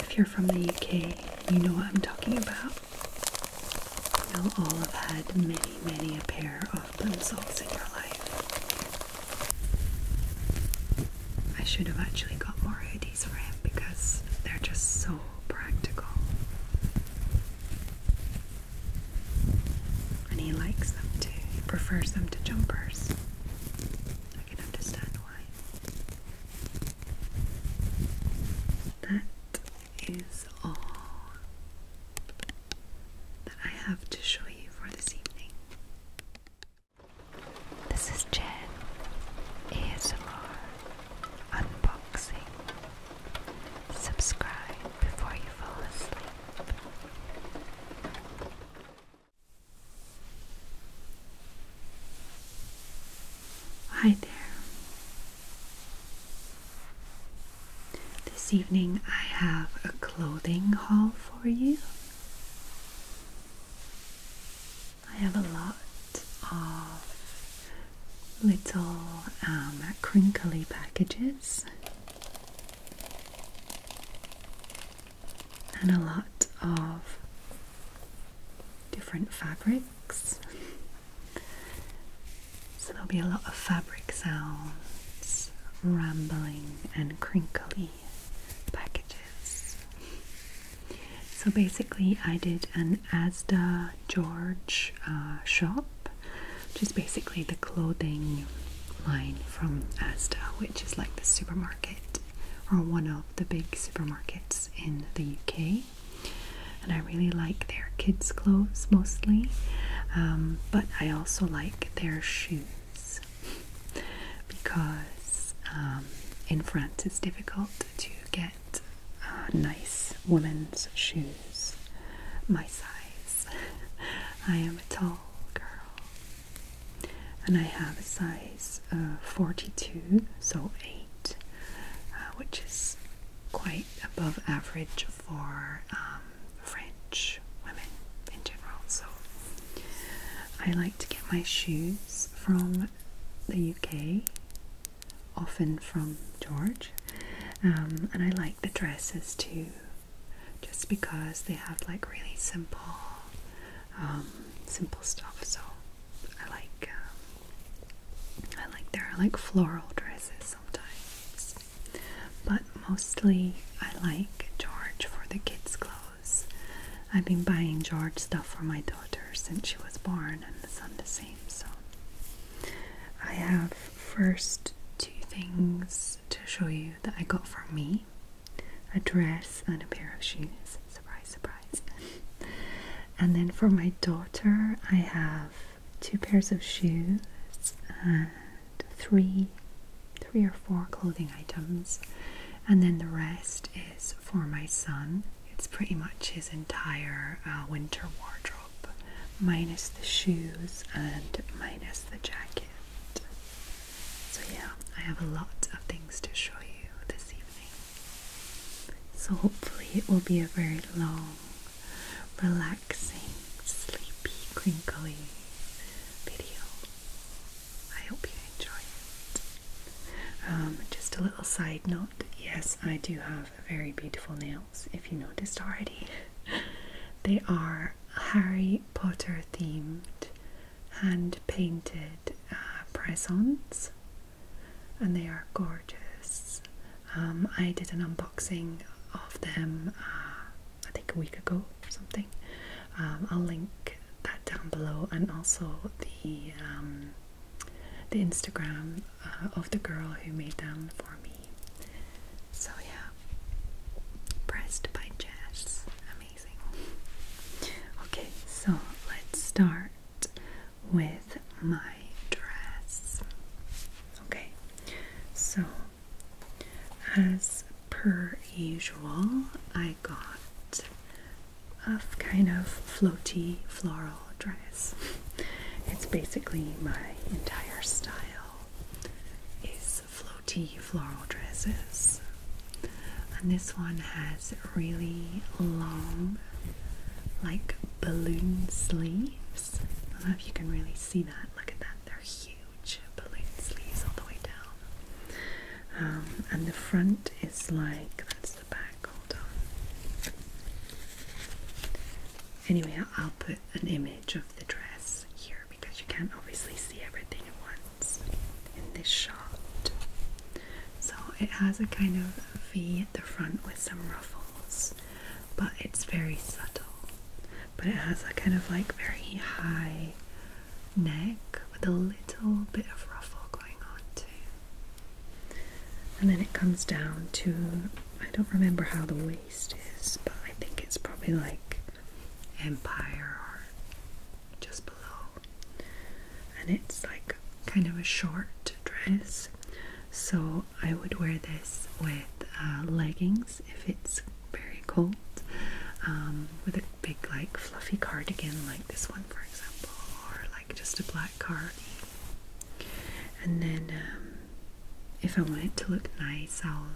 If you're from the UK, you know what I'm talking about. You'll all have had many, many a pair of plimsolls in your life. I should have actually got more hoodies for him because they're just so practical. And he likes them too. prefers them to jumpers. I can understand that is all that I have to show you for this evening. This is Jen ASMR Unboxing. Subscribe before you fall asleep. Hi there. This evening I have a clothing haul for you. I have a lot of little uh, crinkly packages and a lot of different fabrics. So there'll be a lot of fabric sounds, rambling, and crinkly packages. So basically, I did an Asda George uh, shop, which is basically the clothing line from Asda, which is like the supermarket or one the big supermarkets in the UK. And I really like their kids' clothes mostly, um, but I also like their shoes because um, in France it's difficult to get uh, nice women's shoes my size. I am a tall girl and I have a size uh, 42, so 8, uh, which is quite above average for um, French women in general. So I like to get my shoes from the UK, often from George, um, and I like the dresses too, just because they have like really simple, um, simple stuff. So I like um, I like there are like floral dresses sometimes, but mostly I like George for the kids' clothes. I've been buying George stuff for my daughter since she was born, and the son the same. So I have first two things to show you that I got for me: a dress and a pair of shoes. Surprise, surprise and then for my daughter, I have two pairs of shoes and three, three or four clothing items. And then the rest is for my son. It's pretty much his entire uh, winter wardrobe, minus the shoes and minus the jacket. So, yeah, I have a lot of things to show you this evening. So hopefully it will be a very long, relaxing, sleepy, crinkly video. I hope you enjoy it. Um, just a little side note, yes I do have very beautiful nails, if you noticed already. they are Harry Potter themed, hand painted uh, press-ons and they are gorgeous. Um, I did an unboxing of them, uh, I think a week ago or something. Um, I'll link that down below and also the um, the Instagram uh, of the girl who made them for me. So yeah, pressed by Jess, amazing. Okay, so let's start with my dress. Okay, so as per usual, I got a kind of floaty floral dress. It's basically my entire style is floaty floral dresses and this one has really long, like balloon sleeves. I don't know if you can really see that. Look at that, they're huge balloon sleeves all the way down. Um, and the front is like that's the back, hold on. Anyway, I'll put an image of the dress here because you can't obviously see everything at once in this shot. So it has a kind of V at the front with some ruffles, but it's very subtle. But it has a kind of like very high neck with a little bit of ruffle going on too. And then it comes down to I don't remember how the waist is, but I think it's probably like empire or just below. And it's like kind of a short dress. So I would wear this with uh, leggings if it's very cold, um, with a big like fluffy cardigan like this one for example, or like just a black cardi. And then um, if I want it to look nice, I'll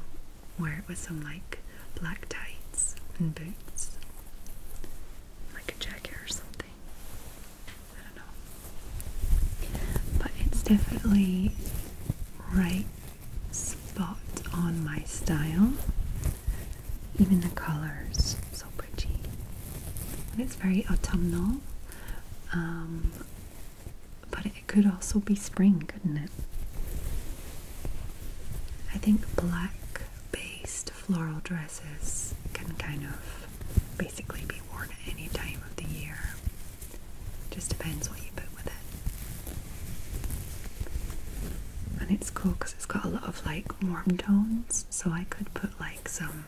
wear it with some like black tights and boots, like a jacket or something. I don't know. But it's definitely right spot on my style. Even the colors, so pretty. And it's very autumnal. Um, but it could also be spring, couldn't it? I think black based floral dresses can kind of basically be worn at any time of the year. Just depends what you put with it. And it's cool because it's got a lot of like warm tones, so I could put like some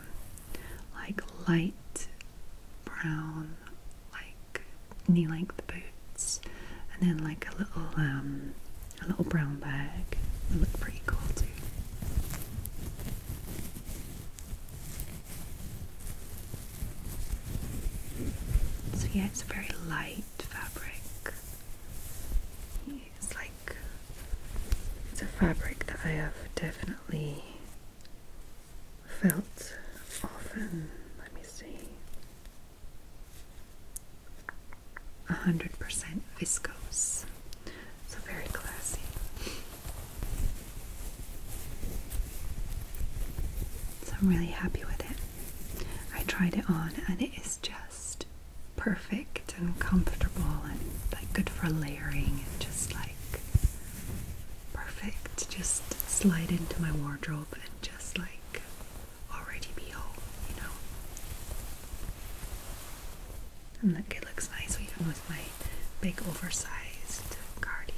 like light brown, like knee length boots, and then like a little um a little brown bag. They looks pretty cool too. So yeah, it's a very light fabric. It's like it's a fabric that I have definitely felt often. Let me see. 100% viscose. So very classy. So I'm really happy with it. I tried it on and it is just perfect and comfortable and like good for layering and just like perfect. Just slide into my wardrobe and just like already be all, you know. And look, it looks nice even with my big oversized cardi.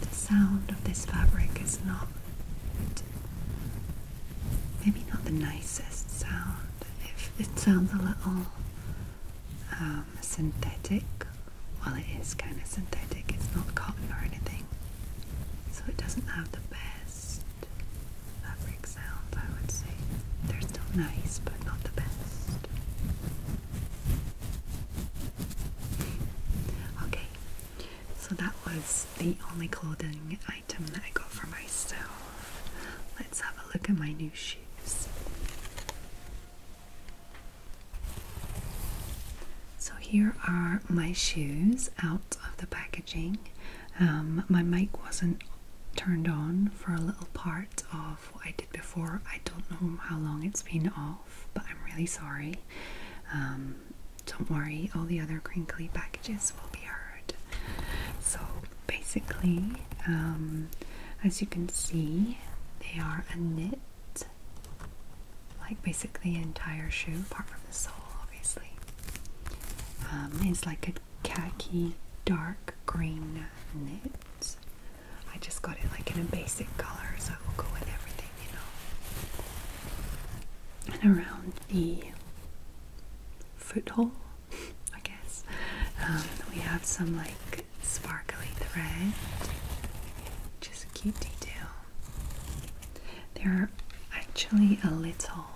The sound of this fabric is not maybe not the nicest sound. it sounds a little uh, um, synthetic. Well, it is kind of synthetic, it's not cotton or anything, so it doesn't have the best fabric sound, I would say. They're still nice, but not the best. Okay, so that was the only clothing item that I got for myself. Let's have a look at my new shoes. So here are my shoes out of the packaging. Um, my mic wasn't turned on for a little part of what I did before. I don't know how long it's been off, but I'm really sorry. Um, don't worry, all the other crinkly packages will be heard. So basically, um, as you can see, they are a knit like basically the entire shoe, apart from the sole, obviously. Um, it's like a khaki dark green knit. I just got it like in a basic color, so it will go with everything, you know. And around the foothole, I guess, um, we have some like sparkly thread. Just a cute detail. They're actually a little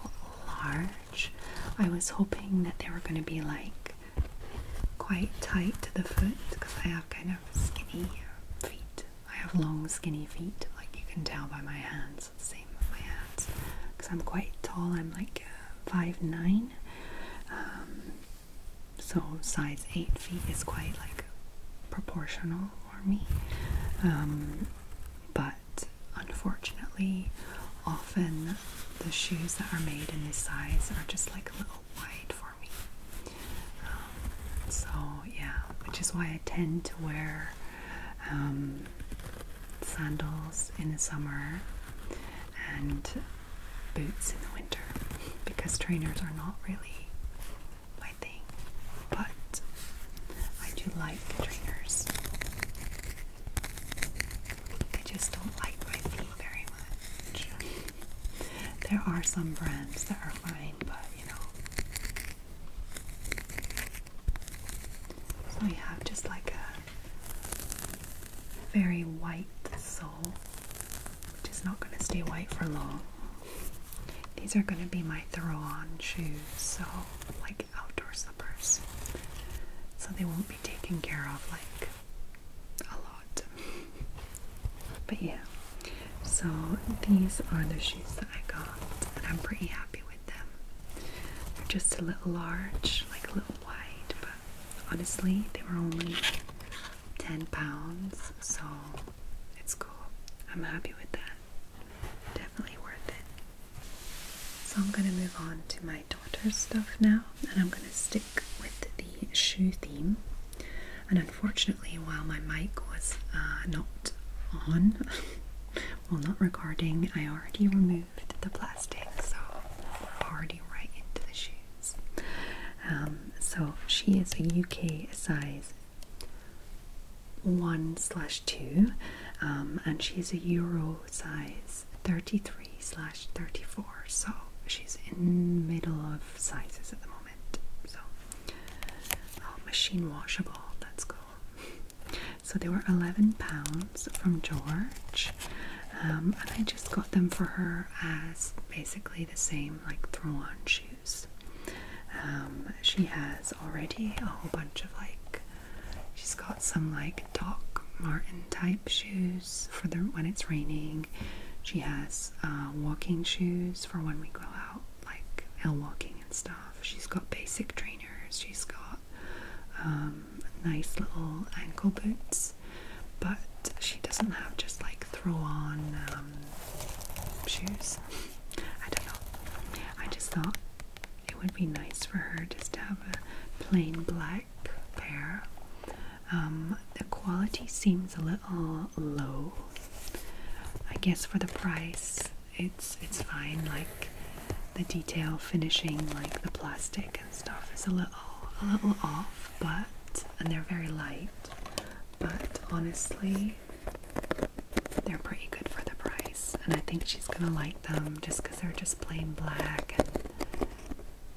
large. I was hoping that they were going to be like quite tight to the foot because I have kind of skinny feet. I have long skinny feet, like you can tell by my hands. Same with my hands because I'm quite tall. I'm like five nine. Um, so size 8 feet is quite like proportional for me um, but unfortunately often the shoes that are made in this size are just like a little wide for me um, so yeah which is why I tend to wear um, sandals in the summer and boots in the winter because trainers are not really my thing, but I do like trainers. I just don't like my feet very much. There are some brands that are fine, but you know. So we have just like a very white sole which is not going to stay white for long. These are going to be my throw-on shoes, so like outdoor slippers. So they won't be taken care of like a lot. but yeah, so these are the shoes that I got, and I'm pretty happy with them. They're just a little large, like a little wide, but honestly, they were only 10 pounds, so it's cool. I'm happy with that. Definitely worth it. So I'm gonna move on to my daughter's stuff now, and I'm gonna stick with the shoe theme. And unfortunately, while my mic was uh, not on, well, not recording, I already removed the plastic, so we're already right into the shoes. Um, so she is a UK size 1 slash 2, um, and she is a Euro size 33 slash 34. So she's in middle of sizes at the moment. So, oh, machine washable, that's cool. So they were 11 pounds from George, um, and I just got them for her as basically the same like throw on shoes. Um, she has already a whole bunch of like, she's got some like Doc Martin type shoes for when it's raining. She has uh, walking shoes for when we go out, like hill walking and stuff. She's got basic trainers. She's got um, nice little ankle boots, but she doesn't have just like throw on um, shoes. I don't know. I just thought it would be nice for her just to have a plain black pair. Um, the quality seems a little low. I guess for the price, it's it's fine. Like the detail finishing, like the plastic and stuff, is a little a little off, but and they're very light. But honestly, they're pretty good for the price, and I think she's gonna like them just because they're just plain black and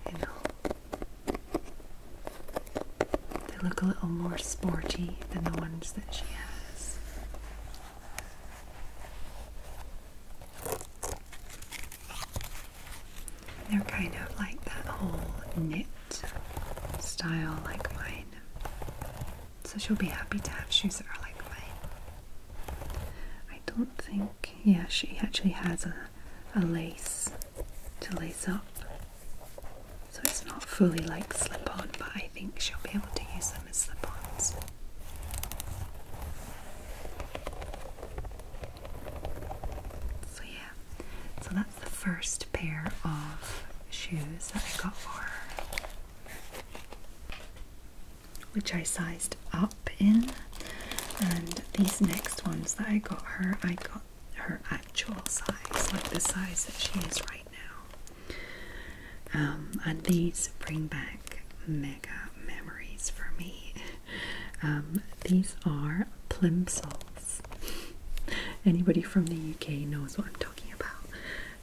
you know they look a little more sporty than the ones that she has. They're kind of like that whole knit style like mine. So she'll be happy to have shoes that are like mine. I don't think, yeah, she actually has a, a lace to lace up. So it's not fully like slip on, but I think she'll be able to use them as slip ons. So, yeah, so the first pair of shoes that I got for her, which I sized up in. And these next ones that I got her, I got her actual size, like the size that she is right now. Um, and these bring back mega memories for me. Um, these are plimsolls. Anybody from the UK knows what I'm talking about.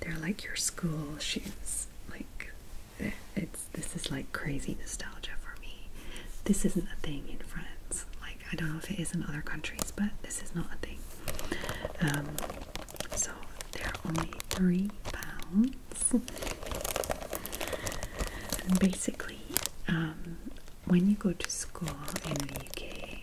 They're like your school shoes. Like it's this is like crazy nostalgia for me. This isn't a thing in France. Like I don't know if it is in other countries, but this is not a thing. Um, so they're only three pounds. And basically, um, when you go to school in the UK,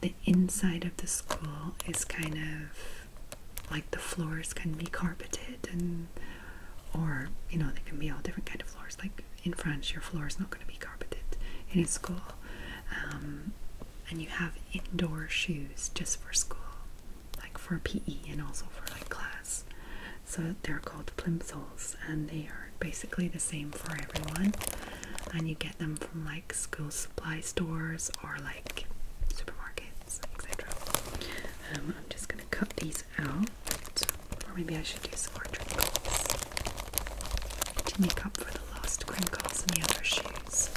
the inside of the school is kind of like the floors can be carpeted and or you know they can be all different kind of floors like in France your floor is not going to be carpeted in a school um, and you have indoor shoes just for school like for PE and also for like class so they're called plimsolls and they are basically the same for everyone and you get them from like school supply stores or like supermarkets etc um, I'm just gonna cut these out or maybe I should do some more crinkles to make up for the lost crinkles in the other shoes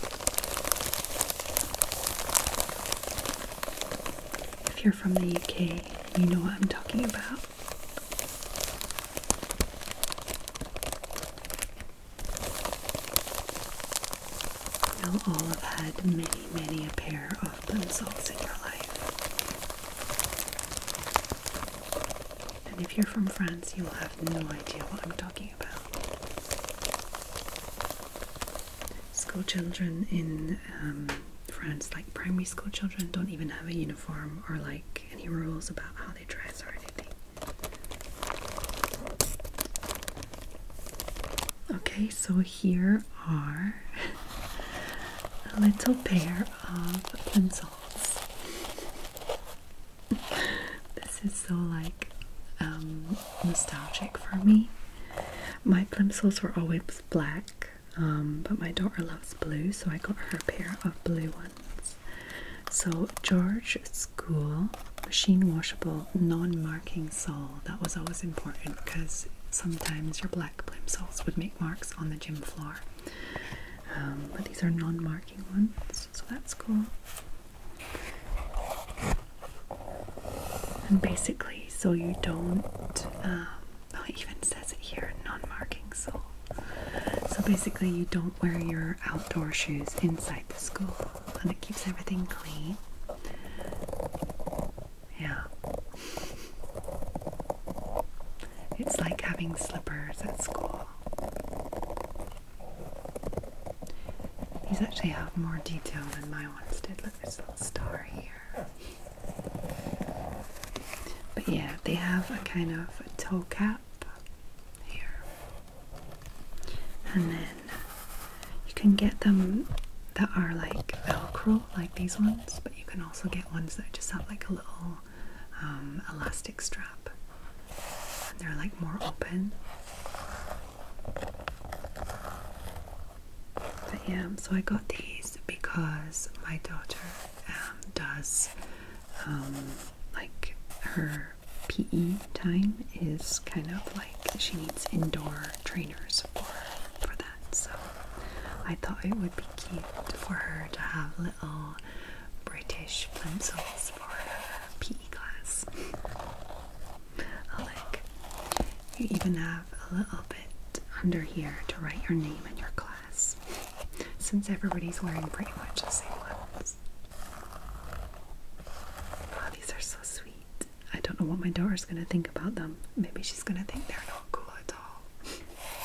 if you're from the UK you know what I'm talking about You'll all have had many, many a pair of pencils in your life. And if you're from France, you will have no idea what I'm talking about. School children in um, France, like primary school children, don't even have a uniform or like any rules about how Okay, so here are a little pair of plimsolls. this is so like um, nostalgic for me. My plimsolls were always black, um, but my daughter loves blue, so I got her a pair of blue ones. So George School machine washable non-marking sole. That was always important because sometimes your black plimsolls would make marks on the gym floor. Um, but these are non-marking ones, so that's cool. And basically, so you don't um, not oh, it even says it here, non-marking sole. So basically you don't wear your outdoor shoes inside the school and it keeps everything clean. Yeah. It's like having slippers at school. These actually have more detail than my ones did. Look, there's a little star here. But yeah, they have a kind of toe cap here, and then you can get them that are like Velcro, like these ones, but you can also get ones that just have like a little um, elastic strap, and they're like more open. But yeah, so I got these because my daughter um, does um, like her PE time is kind of like she needs indoor trainers for for that. So I thought it would be cute for her to have little British pencils for her PE class. Like you even have a little bit under here to write your name in your class was since everybody's wearing pretty much the same ones. Oh, these are so sweet. I don't know what my daughter's gonna think about them. Maybe she's gonna think they're not cool at all.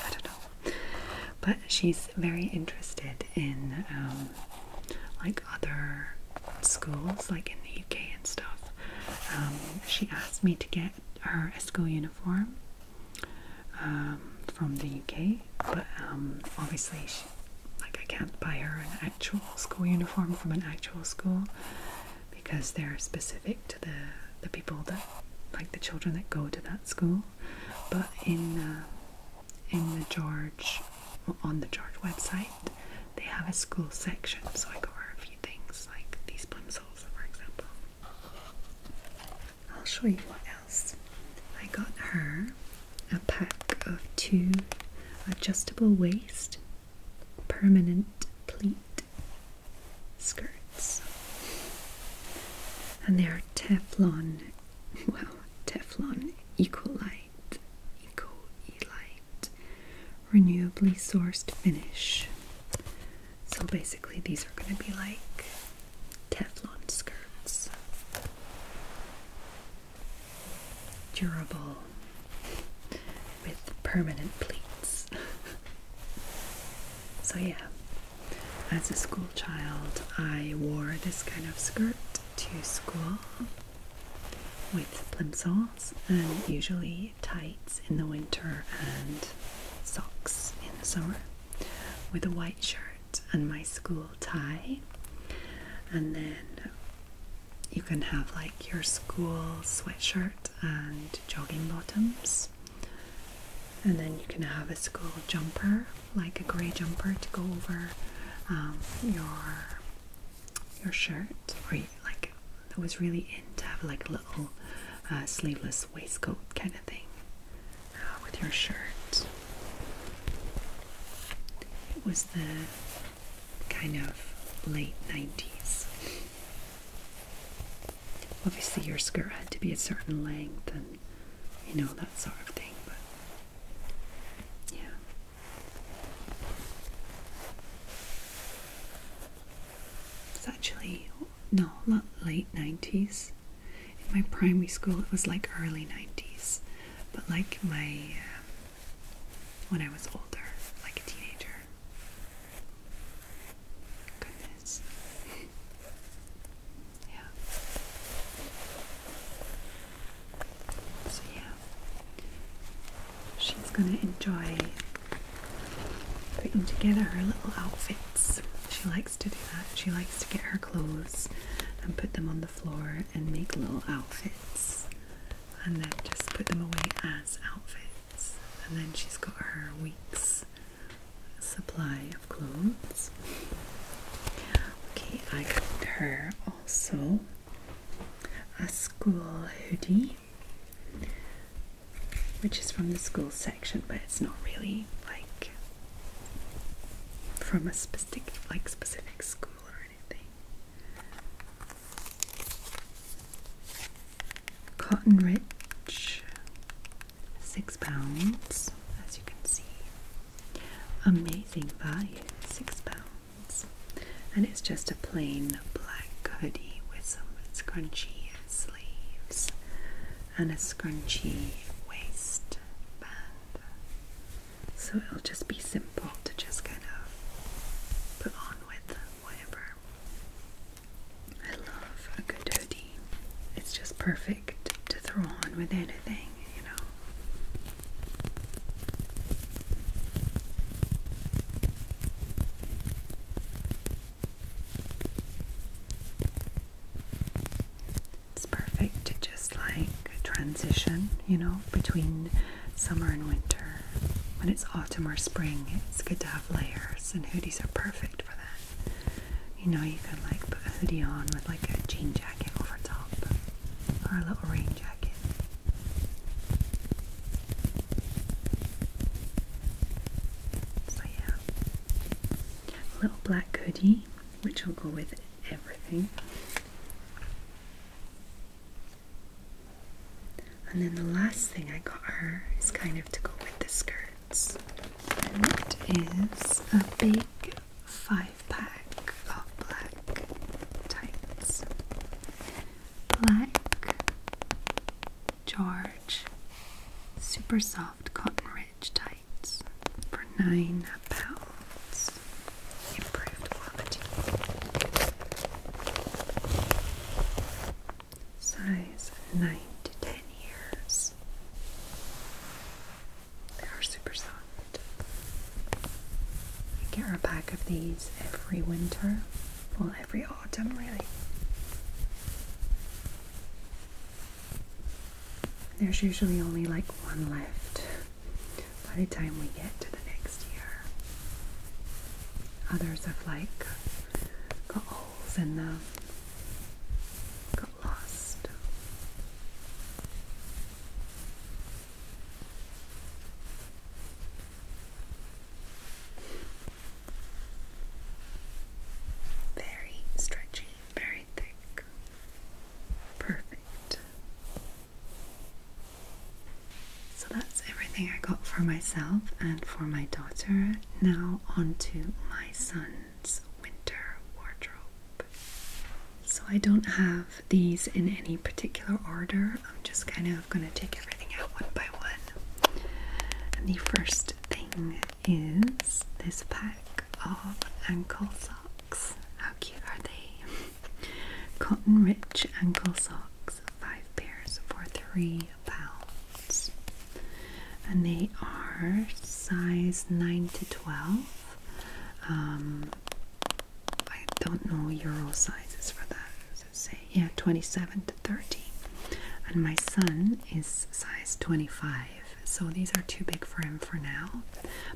I don't know. But she's very interested in um, like other schools, like in the UK and stuff. Um, she asked me to get her a school uniform um, from the UK, but um, obviously, like I can't buy her an actual school uniform from an actual school because they're specific to the the people that like the children that go to that school. But in uh, in the George on the George website, they have a school section, so I got her a few things like these plimsolls, for example. I'll show you what else. I got her a pack of two adjustable waist permanent pleat skirts. And they are Teflon, well, Teflon Ecolite, Ecolite, renewably sourced finish. So basically, these are going to be like Teflon skirts. Durable with permanent pleats. so, yeah, as a school child, I wore this kind of skirt to school with plimsolls and usually tights in the winter and socks in the summer with a white shirt and my school tie. And then you can have like your school sweatshirt and jogging bottoms. And then you can have a school jumper, like a grey jumper to go over um, your your shirt. Or like I was really into to have like a little uh, sleeveless waistcoat kind of thing. Ah, with your shirt. It was the kind of late 90s. Obviously, your skirt had to be a certain length and you know that sort of thing, but yeah. It's actually no, not late 90s in my primary school it was like early 90s but like my um, when I was older like a teenager goodness yeah so yeah she's gonna enjoy putting together her little outfits she to do that. She likes to get her clothes and put them on the floor and make little outfits and then just put them away as outfits. And then she's got her week's supply of clothes. Okay, I got her also a school hoodie, which is from the school section, but it's not really like from a specific like specific school or anything. Cotton Rich, six pounds, as you can see. Amazing value, six pounds. And it's just a plain black hoodie with some scrunchy sleeves and a scrunchy waistband so it'll just be simple to just kind of put on with whatever. I love a good hoodie. It's just perfect to throw on with anything, you know. It's perfect to just like transition, you know, between summer and winter. When it's autumn or spring, it's good to have layers, and hoodies are perfect for that. You know, you can like put a hoodie on with like a jean jacket over top or a little rain jacket. So, yeah, little black hoodie which will go with everything. And then the last thing I got her is kind of to go with the skirts. And it is a big five pack of black tights. Black George Super Soft Cotton Ridge tights for nine pounds. Improved quality. Size nine to ten years. They are super soft. I get a pack of these every winter, well, every autumn, really. There's usually only like one left by the time we get to the next year. Others have like got holes in them, got lost. Very stretchy, very thick. Perfect. So that's everything I got for myself and for my daughter. Now, onto my son's winter wardrobe. So, I don't have these in any particular order, I'm just kind of going to take everything out one by one. And the first thing is this pack of ankle socks. How cute are they? Cotton rich ankle socks, five pairs for three pounds. And they are size 9 to 12. Um, I don't know euro sizes for that. Does it say? Yeah, 27 to 30. And my son is size 25 so these are too big for him for now.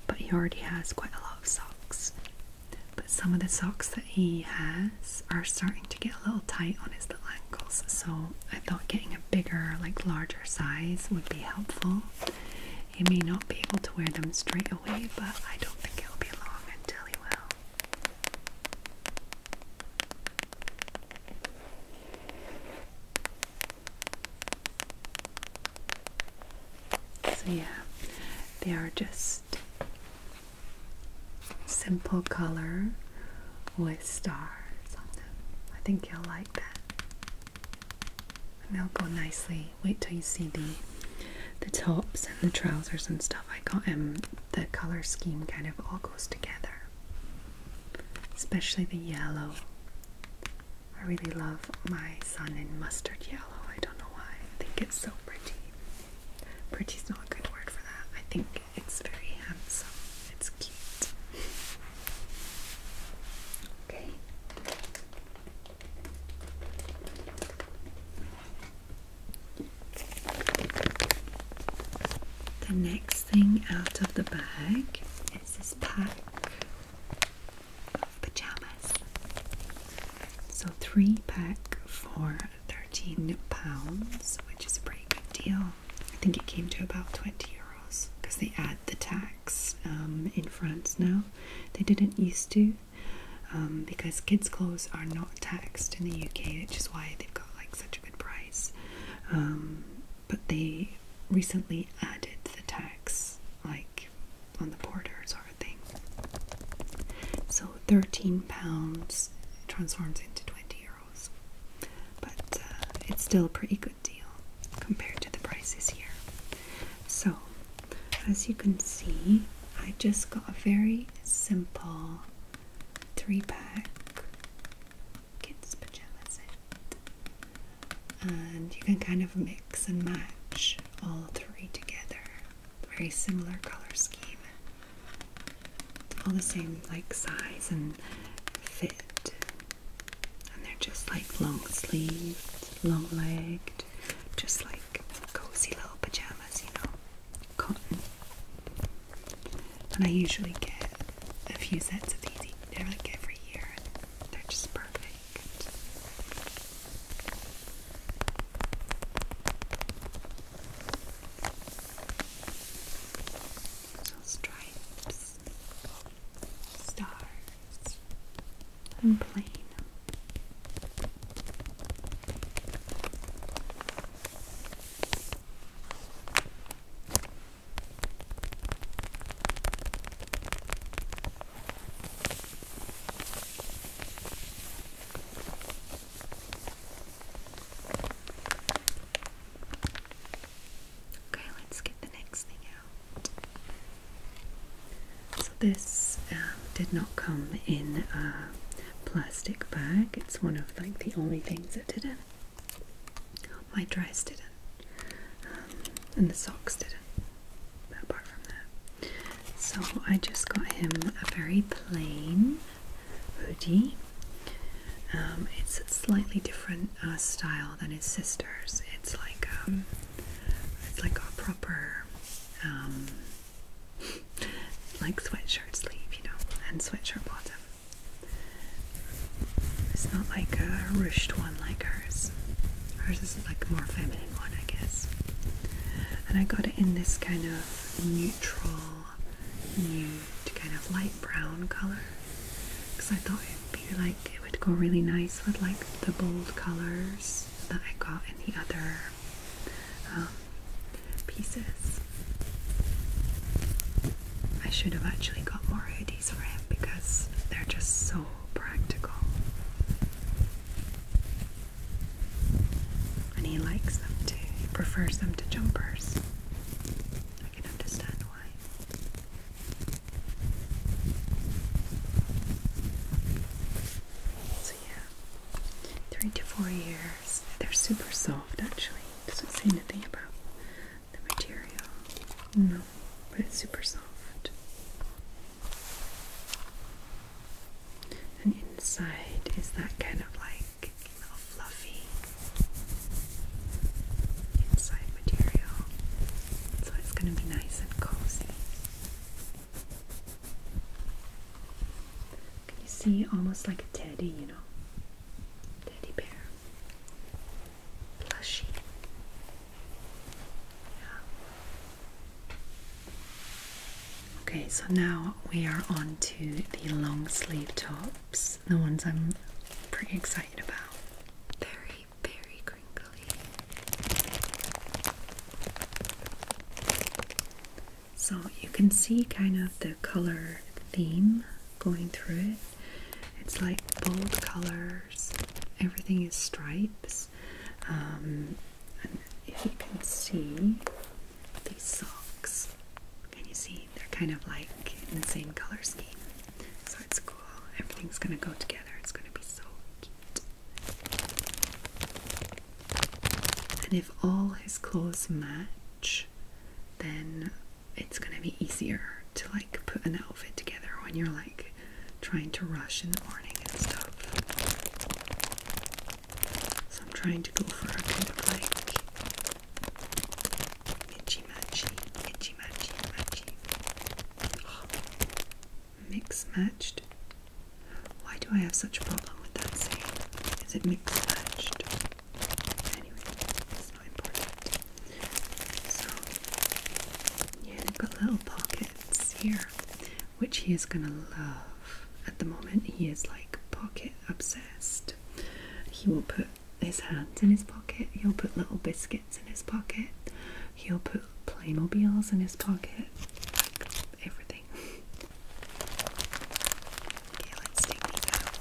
But he already has quite a lot of socks. But some of the socks that he has are starting to get a little tight on his little ankles, so I thought getting a bigger, like larger size would be helpful. He may not be able to wear them straight away, but I don't think it'll be long until he will. So, yeah, they are just simple color with stars on them. I think you'll like that. And they'll go nicely. Wait till you see the the tops and the trousers and stuff. I got them. The color scheme kind of all goes together, especially the yellow. I really love my sun in mustard yellow. I don't know why. I think it's so pretty. Pretty's not a good word for that. I think it's very handsome. It's cute. Okay. The next thing out of the bag is this pack pajamas. So three pack for thirteen pounds, which is a pretty good deal. I think it came to about twenty euros because they add the tax um, in France now. They didn't used to um, because kids' clothes are not taxed in the UK, which is why they've got like such a good price. Um, but they recently added the tax like on the border sort of thing. So 13 pounds transforms into 20 euros. But uh, it's still a pretty good deal compared to the prices here. So, as you can see, I just got a very simple three pack kids' pajamas set and you can kind of mix and match all three together. Very similar color scheme, all the same like size and fit, and they're just like long sleeved, long legged, just like cozy little pajamas, you know, cotton. And I usually get a few sets of these. they every year. They're just perfect perfect. So stripes, stars, and plain. Okay, let's get the next thing out. So, this um, did not come in a plastic bag, it's one of like the only things that didn't. My dress didn't. Um, and the socks didn't. apart from that, so I just got him a very plain hoodie. Um, it's a slightly different uh, style than his sister's. It's like um, it's like a proper like sweatshirt sleeve, you know, and sweatshirt bottom. It's not like a ruched one like hers. Hers is like more feminine one, I guess. And I got it in this kind of neutral, kind of light brown color because I thought it'd be like it would go really nice with like the bold colors that I got in the other um, pieces. I should have actually got more hoodies for him because they're just so practical. And he likes them too. prefers them to jumpers. I can understand why. So yeah, three to four years. They're super soft actually. Doesn't say anything about the material. No, but it's super soft. And inside is that kind of like fluffy inside material. So it's going to be nice and cozy. Can you see almost like a teddy, you know? Teddy bear. Plushy. Okay, so now we are on to the long sleeve tops, the ones I'm pretty excited about. Very, very crinkly. So you can see kind of the color theme going through it. It's like bold colors, everything is stripes, um, if you can see these socks, can you see they're kind of like in the same color scheme? So it's cool. Everything's gonna go together. It's gonna be so cute. And if all his clothes match, then it's gonna be easier to like put an outfit together when you're like trying to rush in the morning and stuff. So I'm trying to go for a kind of like itchy matchy, itchy matchy, matchy. Oh, mix matched. Why do I have such a problem with that saying? Is it mix matched? Anyway, it's not important. So yeah, got little pockets here, which he is gonna love. At the moment, he is like pocket obsessed. He will put his hands in his pocket, he'll put little biscuits in his pocket, he'll put Playmobiles in his pocket, like everything. Okay, let's take these out.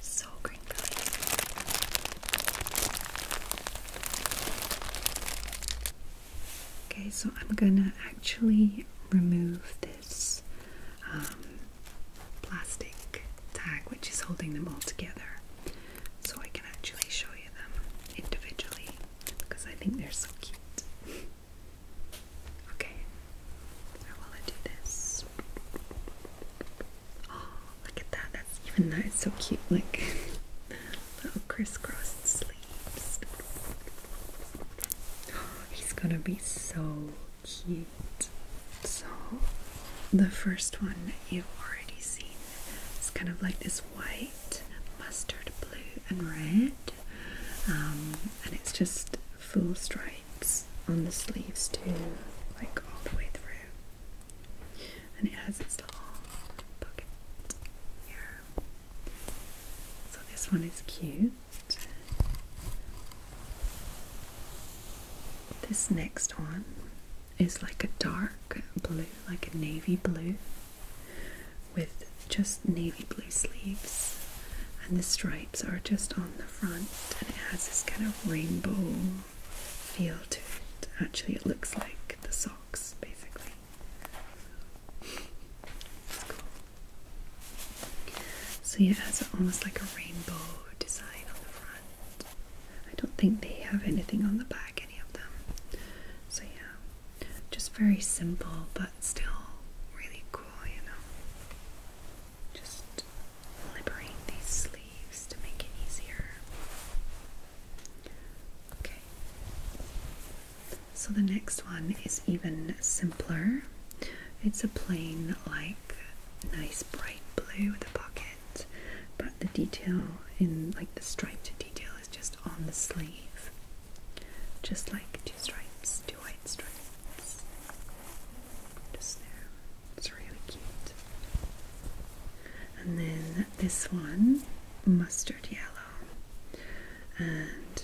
So green Okay, so I'm gonna actually remove this um, plastic tag which is holding them all together so I can actually show you them individually because I think they're so cute. Okay, so while I do this, oh look at that! That's even that is so cute. Like little crisscrossed sleeves. he's gonna be so cute. So the first one you've already seen. It's kind of like this white, mustard blue, and red. Um, and it's just full stripes on the sleeves too, like all the way through. And it has its little pocket here. So this one is cute. This next one is like a dark blue, like a navy blue, with just navy blue sleeves, and the stripes are just on the front, and it has this kind of rainbow feel to it. Actually, it looks like the socks basically. So, yeah, it has almost like a rainbow design on the front. I don't think they have anything on the back, any of them. So, yeah. Just very simple, but still really cool, you know. Just liberate these sleeves to make it easier. Okay. So the next one is even simpler. It's a plain, like, nice bright blue with a pocket, but the detail in, like, the striped detail is just on the sleeve, just like two stripes white stripes. Notice there. It's really cute. And then this one, mustard yellow. And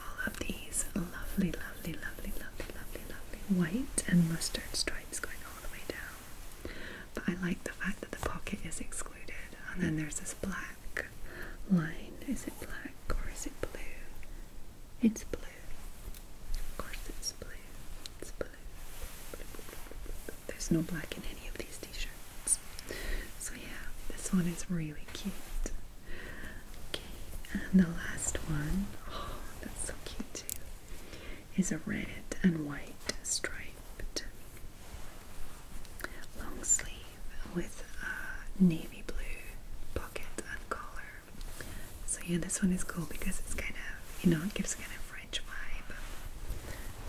all of these lovely, lovely, lovely, lovely, lovely, lovely white and mustard stripes going all the way down. But I like the fact that the pocket is excluded. And then there's this black line. Is it black or is it blue? It's blue. Of course, it's blue. It's blue. There's no black in any of these t-shirts. So yeah, this one is really cute. and the last one, oh, that's so cute too, is a red and white striped long sleeve with navy blue pocket and collar. So yeah, this one is cool because it's kind of, you know, it gives a kind of French vibe.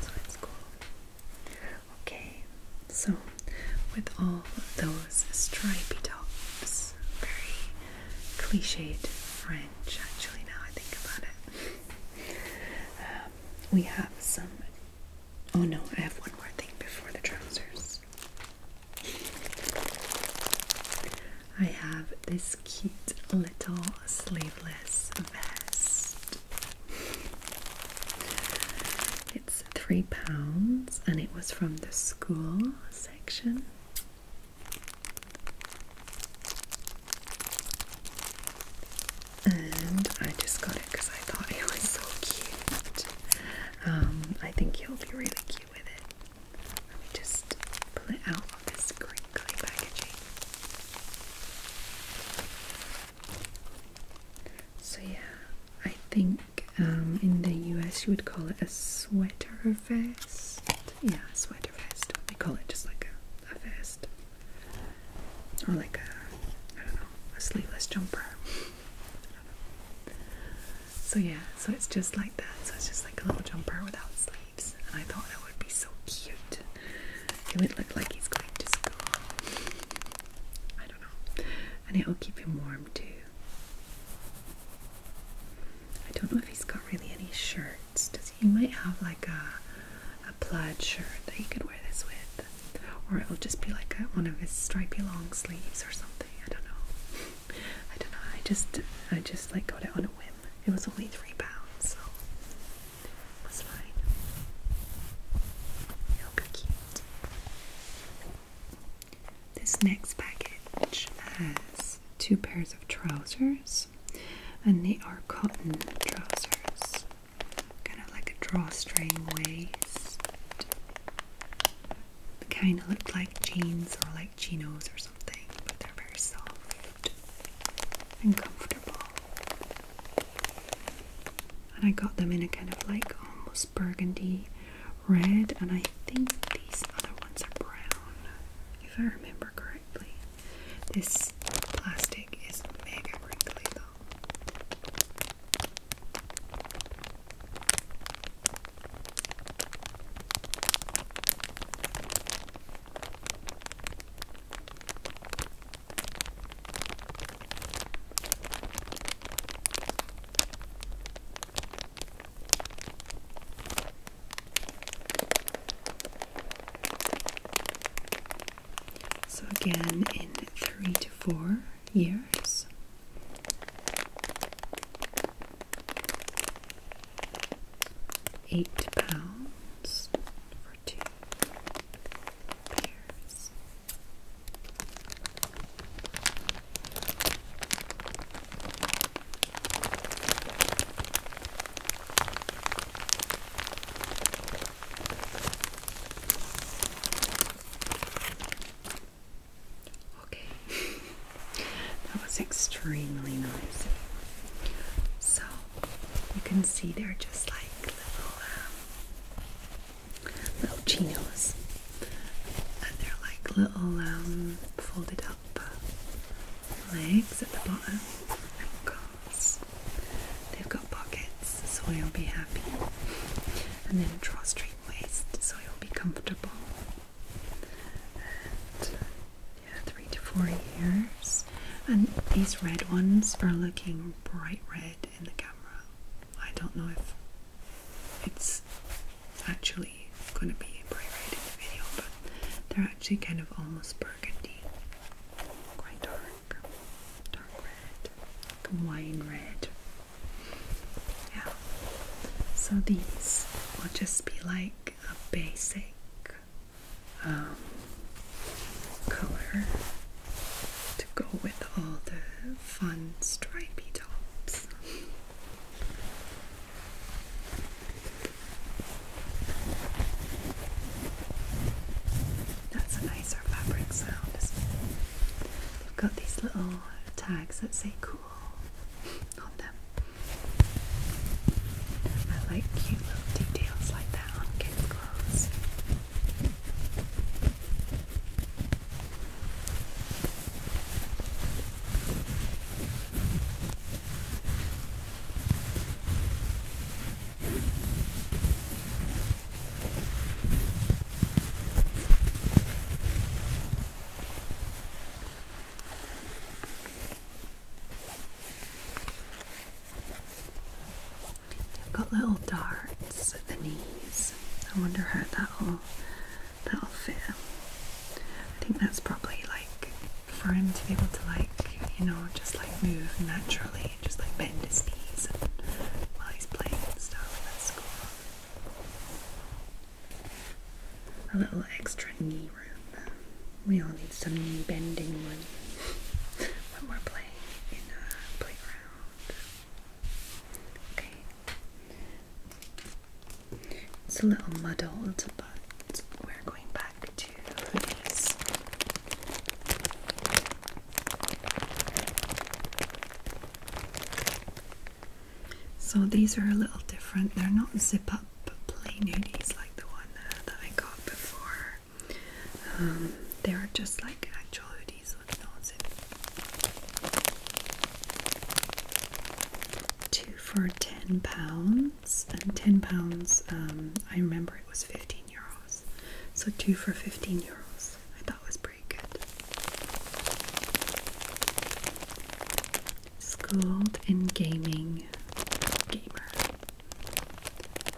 So it's cool. Okay, so with all those stripy tops, very cliched French actually now I think about it. Um, we have some Oh no, I have one more thing before the trousers. I have this cute little sleeveless vest. It's three pounds and it was from the school section. And I just got it because I thought it was so cute. Um, I think he will be really cute with it. Let me just pull it out of this crinkly packaging. So yeah, I think um, in the US you would call it a sweater vest. Yeah, sweater vest. They call it just like a, a vest. Or like a, I don't know, a sleeveless jumper. So yeah, so it's just like that. So it's just like a little jumper without sleeves. And I thought it would be so cute. It would look like he's going to school. I don't know. And it will keep him warm too. I don't know if he's got really any shirts. Does he, he might have like a a plaid shirt that you could wear this with or it'll just be like one of his stripy long sleeves or something. I don't know. I don't know. I just I just like got it on a whim. It was only three pounds, so it was fine. it This next package has two pairs of trousers, and they are cotton trousers, kind of like a drawstring waist, they kind of look like jeans or like chinos or something, but they're very soft and comfortable. And I got them in a kind of like almost burgundy red, and I think these other ones are brown, if I remember correctly. This plastic is mega wrinkly though. So, again, in three to four years, Eight pounds for two pairs. Okay, that was extremely nice. So you can see they're just like little um, chinos, and they're like little um, folded up legs at the bottom and cuffs. They've got pockets, so you'll be happy. And then drawstring so you'll be comfortable. And yeah, three to four years. And these red ones are looking bright red in the camera. I don't know if it's actually going to be bright red in the video, but they're actually kind of almost burgundy. Quite dark. Dark red. wine red. Yeah. So these will just be like a basic um, color to go with all the fun stripy tops. That's a nicer fabric sound, We've got these little tags that say cool on them. I like cute little details like that on kids' clothes got little darts at the knees. I wonder how that'll that'll fit. I think that's probably like for him to be able to like, you know, just like move naturally, just like bend his knees while he's playing and stuff. That's school a little extra knee room. We all need some knee bending when, when we're playing in a uh, playground. Okay. It's a little muddled, but we're going back to these. So these are a little different. They're not zip up plain hoodies like the one uh, that I got before. Um, they are just like actual hoodies with no zip. Two for ten pounds, and ten pounds. Um, I remember it was fifteen euros, so two for fifteen euros. I thought it was Schooled in gaming gamer.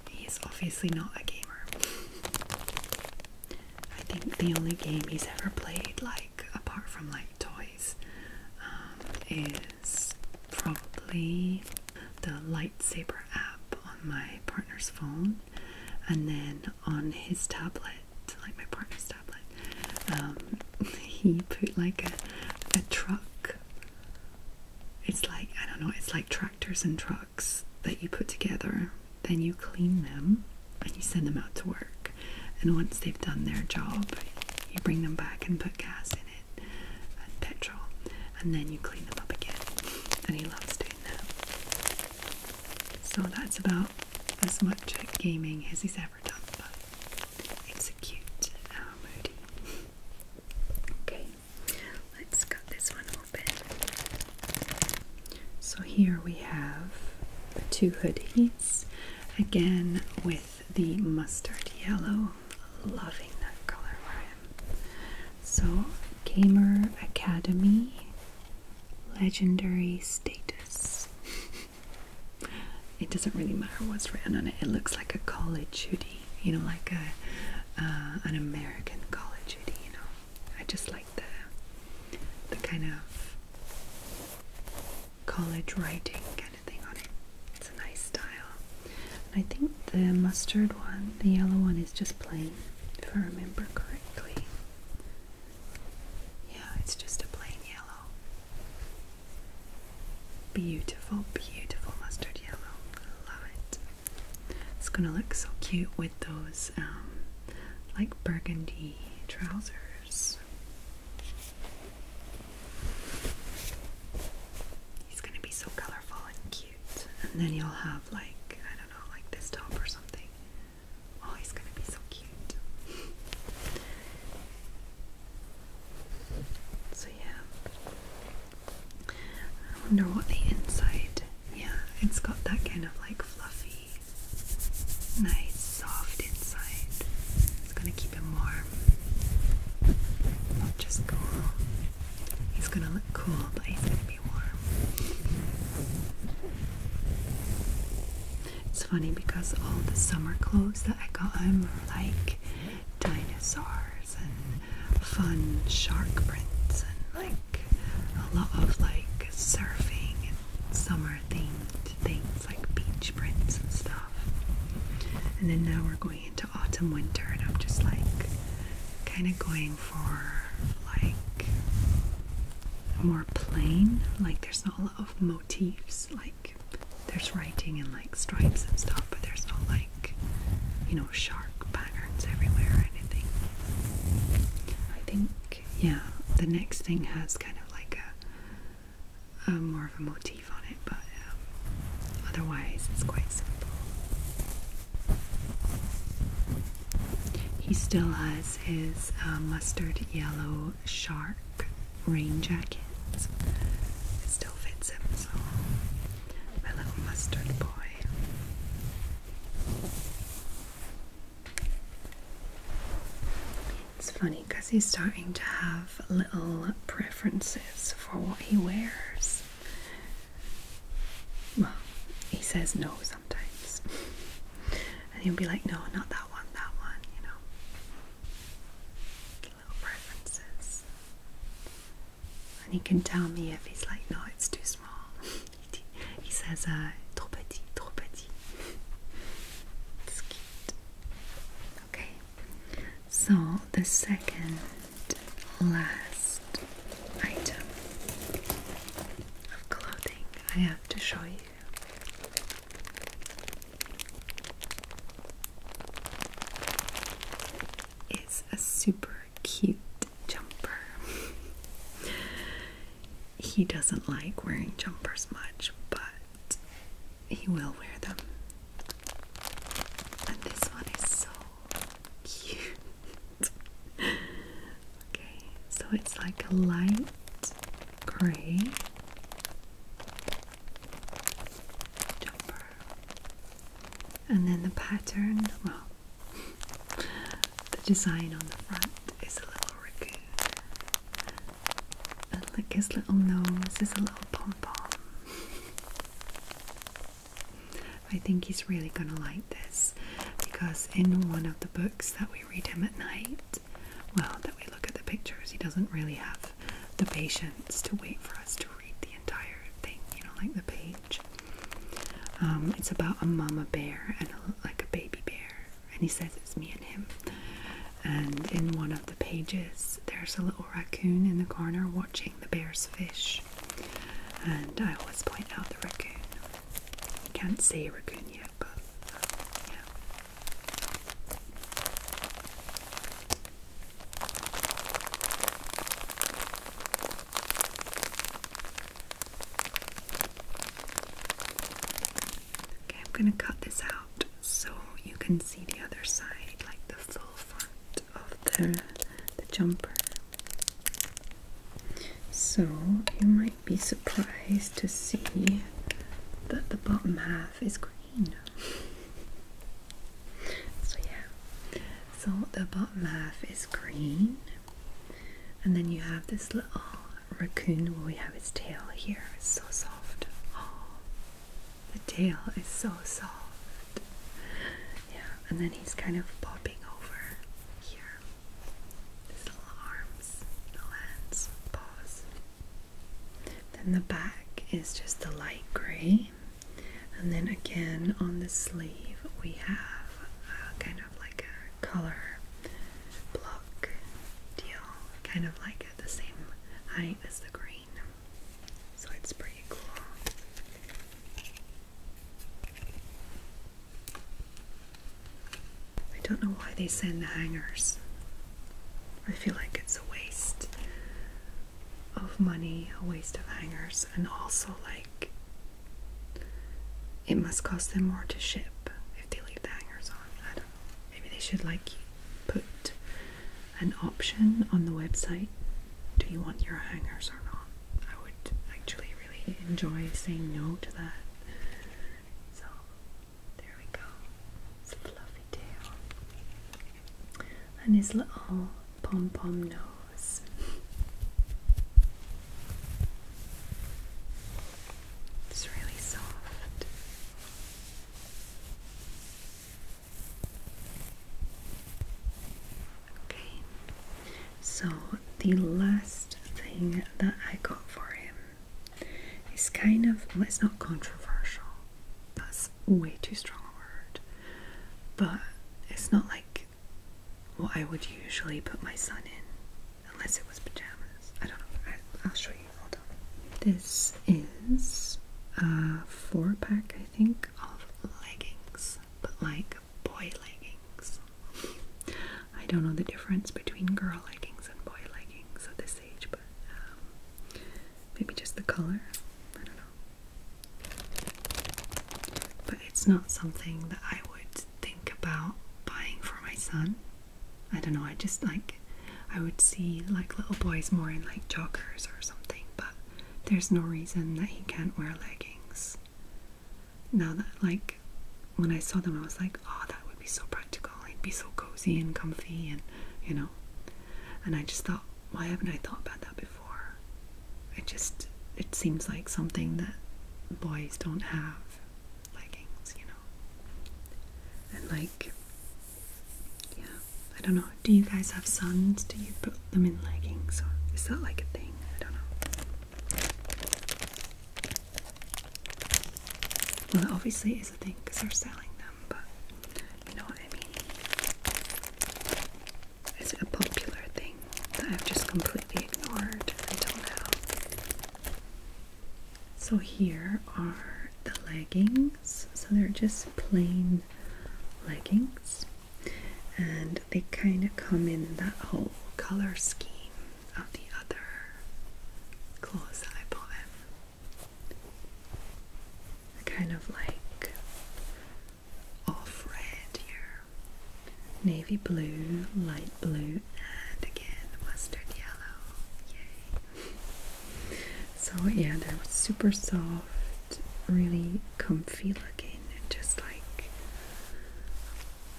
He's obviously not a gamer. I think the only game he's ever played, like apart from like toys, um, is probably the lightsaber app on my partner's phone, and then on his tablet to like my partner's tablet. Um, he put like a, a truck. It's like I don't know. It's like tractors and trucks that you put together. Then you clean them and you send them out to work. And once they've done their job, you bring them back and put gas in it and petrol, and then you clean them up again. And he loves doing that. So that's about as much gaming as he's ever done, but it's a cute uh, Okay, let's cut this one open. So here we have two hoodies, again with the mustard yellow. Loving that color So, Gamer Academy legendary status. it doesn't really matter what's written on it. It looks like a college of you know, like a uh, an American college of You know, I just like the the kind of college writing kind of thing on it. It's a nice style. I think the mustard one, the yellow one, is just plain, if I remember correctly. Yeah, it's just a plain yellow. Beautiful, beautiful mustard yellow. Love it. It's gonna look so cute with those um, like burgundy trousers. He's gonna be so colorful and cute. And then you'll have like, I don't know, like this top or something. Oh, he's gonna be so cute. so yeah. I wonder what the inside. Yeah, it's got that kind of like fluffy, nice, soft inside. It's gonna keep him warm. just cool. He's gonna look cool, but he's gonna be warm. It's funny because all the summer clothes that I got on were like dinosaurs and fun shark prints and like a lot of like surfing and summer themed things like beach prints and stuff. And then now we're going into autumn winter and I'm just like kind of going for like more plain, like there's not a lot motifs. Like there's writing and like stripes and stuff, but there's no like you know shark patterns everywhere or anything. I think yeah, the next thing has kind of like a, more of a motif on it, but um, otherwise it's quite simple. He still has his uh, mustard yellow shark rain jackets. It still fits him, so my little mustard boy. It's funny because he's starting to have little preferences for what he wears. Well, he says no sometimes. And he'll be like, no, not that that one, that one, you know. Little preferences. And he can tell me if he's like, no, it's too small. he, says, uh, trop petit, trop petit. it's cute. Okay, so the second last item of clothing I have to show you it's a super cute jumper. he doesn't like wearing jumpers much, but he will wear them. And this one is so cute. okay, so it's like a light gray jumper. And then the pattern, well, the design on the front is a little raccoon. And look, his little nose is a little pom pom. I think he's really gonna like this because in one of the books that we read him at night, well that we look at the pictures he doesn't really have the patience to wait for us to read the entire thing you know like the page um, it's about a mama bear and a, like a baby bear and he says it's me and him and in one of the pages there's a little raccoon in the corner watching the bear's fish and I always point out the raccoon. You can't see a raccoon yet, but uh, yeah. Okay, I'm going to cut this out so you can see the other side, like the full front of the, the jumper. So, you might be surprised to see that the bottom half is green. so, yeah, so the bottom half is green, and then you have this little raccoon where we have his tail here. It's so soft. Oh, the tail is so soft. Yeah, and then he's kind of popping over here. His little arms, little hands, paws. Then the back is just the light grey, and then again on the sleeve we have a kind of like a color block deal, kind of like at the same height as the green. So it's pretty cool. I don't know why they send the hangers. I feel like it's a waste of money, a waste of hangers, and also like it must cost them more to ship if they leave the hangers on. I don't know. Maybe they should like put an option on the website. Do you want your hangers or not? I would actually really enjoy saying no to that. So there we go. Fluffy tail. And his little pom pom nose. It's really soft. Okay, so the last thing that I got for him it's kind of, well, it's not controversial, that's way too strong a word, but it's not like what I would usually put my son in, unless it was pajamas. I don't know, I, I'll show you, hold on. This is a four pack, I think, of leggings, but like boy leggings. I don't know the difference between girl leggings and boy leggings, so this but um, maybe just the color. I don't know. But it's not something that I would think about buying for my son. I don't know, I just like, I would see like little boys more in like joggers or something, but there's no reason that he can't wear leggings. Now that like, when I saw them, I was like, oh, that would be so practical. It'd be so cozy and comfy, and you know. And I just thought, why haven't I thought about that before? It just it seems like something that boys don't have leggings, you know. And like, yeah, I don't know. Do you guys have sons? Do you put them in leggings, or is that like a thing? I don't know. Well, it obviously these, I think, because they're selling them, but you know what I mean. It's a popular thing that I've just completely ignored until now. So here are the leggings. So they're just plain leggings. And they kind of come in that whole color scheme of the other clothes that I bought kind of like off red here, navy blue, light blue, and again mustard yellow. Yay! So, yeah, they're super soft, really comfy looking, and just like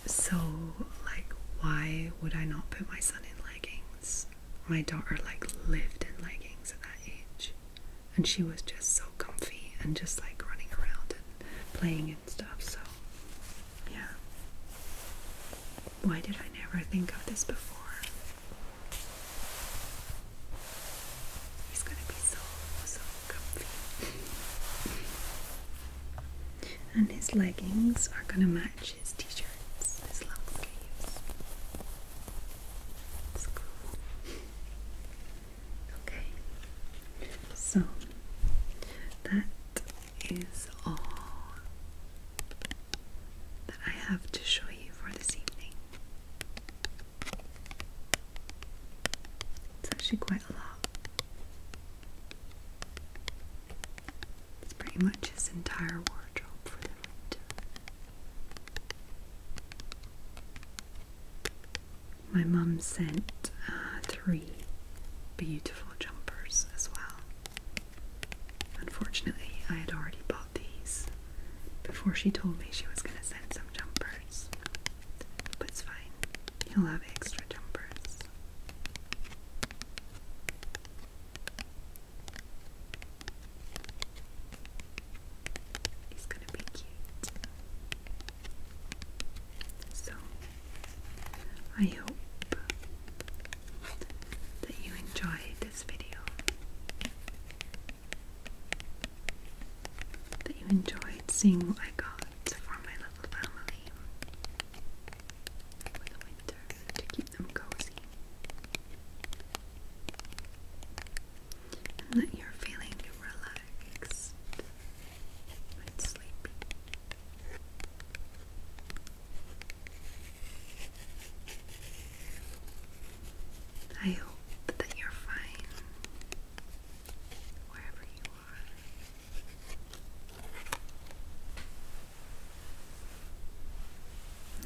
so. Like, why would I not put my son in leggings? My daughter like lived in leggings at that age, and she was just so comfy and just like running around and playing and stuff. So, yeah. Why did I never think of this before? He's gonna be so so comfy. And his leggings are gonna match Okay. So that is all that I have to show you for this evening. It's actually quite a lot. It's pretty much his entire wardrobe for the winter. My mum sent uh, three beautiful jumpers as well. Unfortunately, I had already bought these before she told me she was going to send some jumpers. But it's fine, he'll have extra jumpers. He's gonna be cute. So, I hope that you enjoyed this video, that you enjoyed seeing what I got for my little family for the winter keep them cozy. that you're feeling relaxed sleepy. I hope that you're fine wherever you are.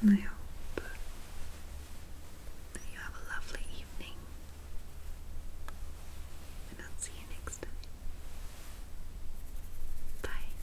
I hope you have a lovely evening, and I'll see you next time. Bye.